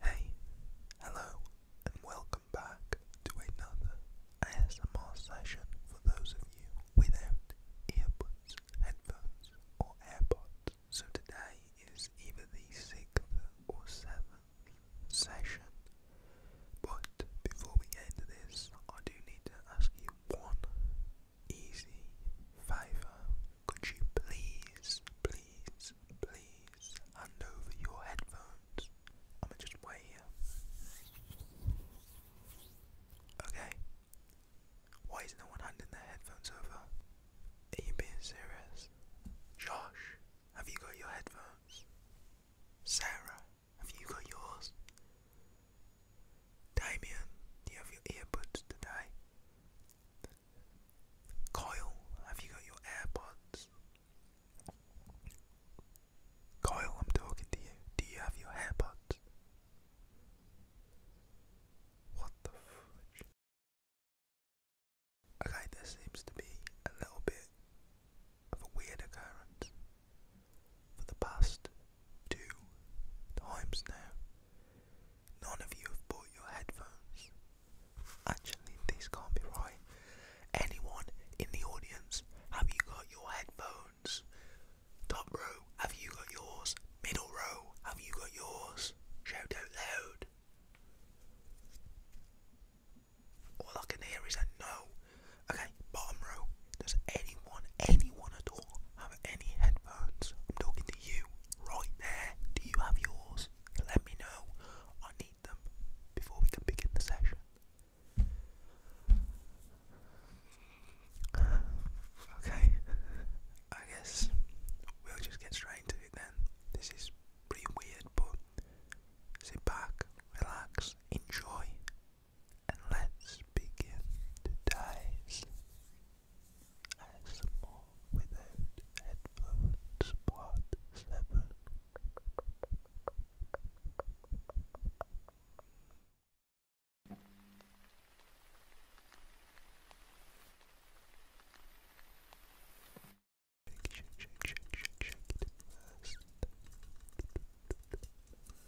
Hey, hello, and welcome back to another ASMR session for those of you without earbuds, headphones, or AirPods. So today is either the sixth or seventh session. But before we end this, I do need to ask you one easy favour. Could you please, please, please hand over your headphones? I'm just wait here. Okay. Why is no one handing their headphones over? Are you being serious? Josh, have you got your headphones? Sarah, have you got yours? Damien, do you have your earbuds today? Kyle, have you got your AirPods? Kyle, I'm talking to you. Do you have your AirPods? What the fudge? Okay, this seems to be a little bit of a weird occurrence for the past two times now. None of you have bought your headphones. Actually, this can't be right. Anyone in the audience, have you got your headphones? Top row, have you got yours? Middle row, have you got yours? Shout out loud. All I can hear is a no. Okay, bottom row. Does anyone, anyone at all have any headphones? I'm talking to you right there. Do you have yours? Let me know. I need them before we can begin the session. Okay, I guess we'll just get straight into it then. This is pretty weird, but sit back, relax, enjoy, and let's begin to die without headphones part 7. Shake, shake, shake, shake, shake, shake it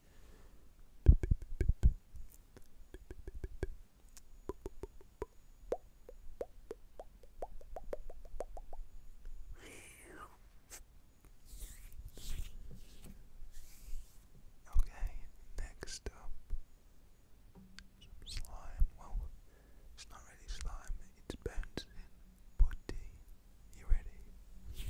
Okay, next up slime. Well, it's not really slime, it's bouncing putty. You ready? Good.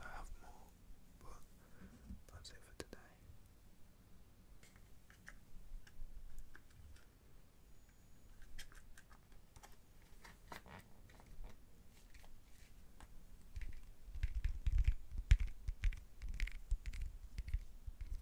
I have more, but that's it for today.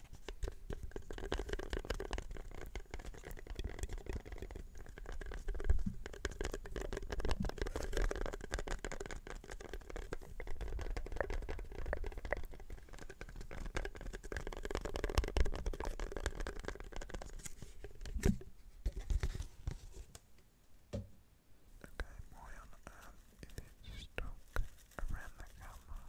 Okay, why on earth is it stuck around the camera?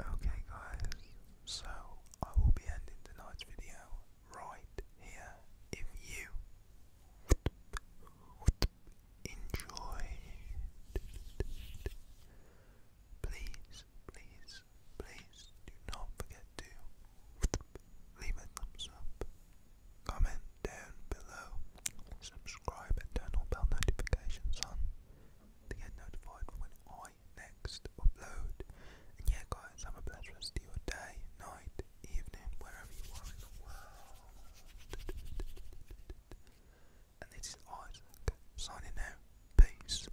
Okay, guys, so I will be ending tonight's video right here. If you enjoyed, please, please, please do not forget to leave a thumbs up, comment down below, subscribe and turn all bell notifications on to get notified when I next upload. And yeah guys, have a blessed rest of your day, night, evening, wherever you are in the world. And this Isaac, signing out. Peace.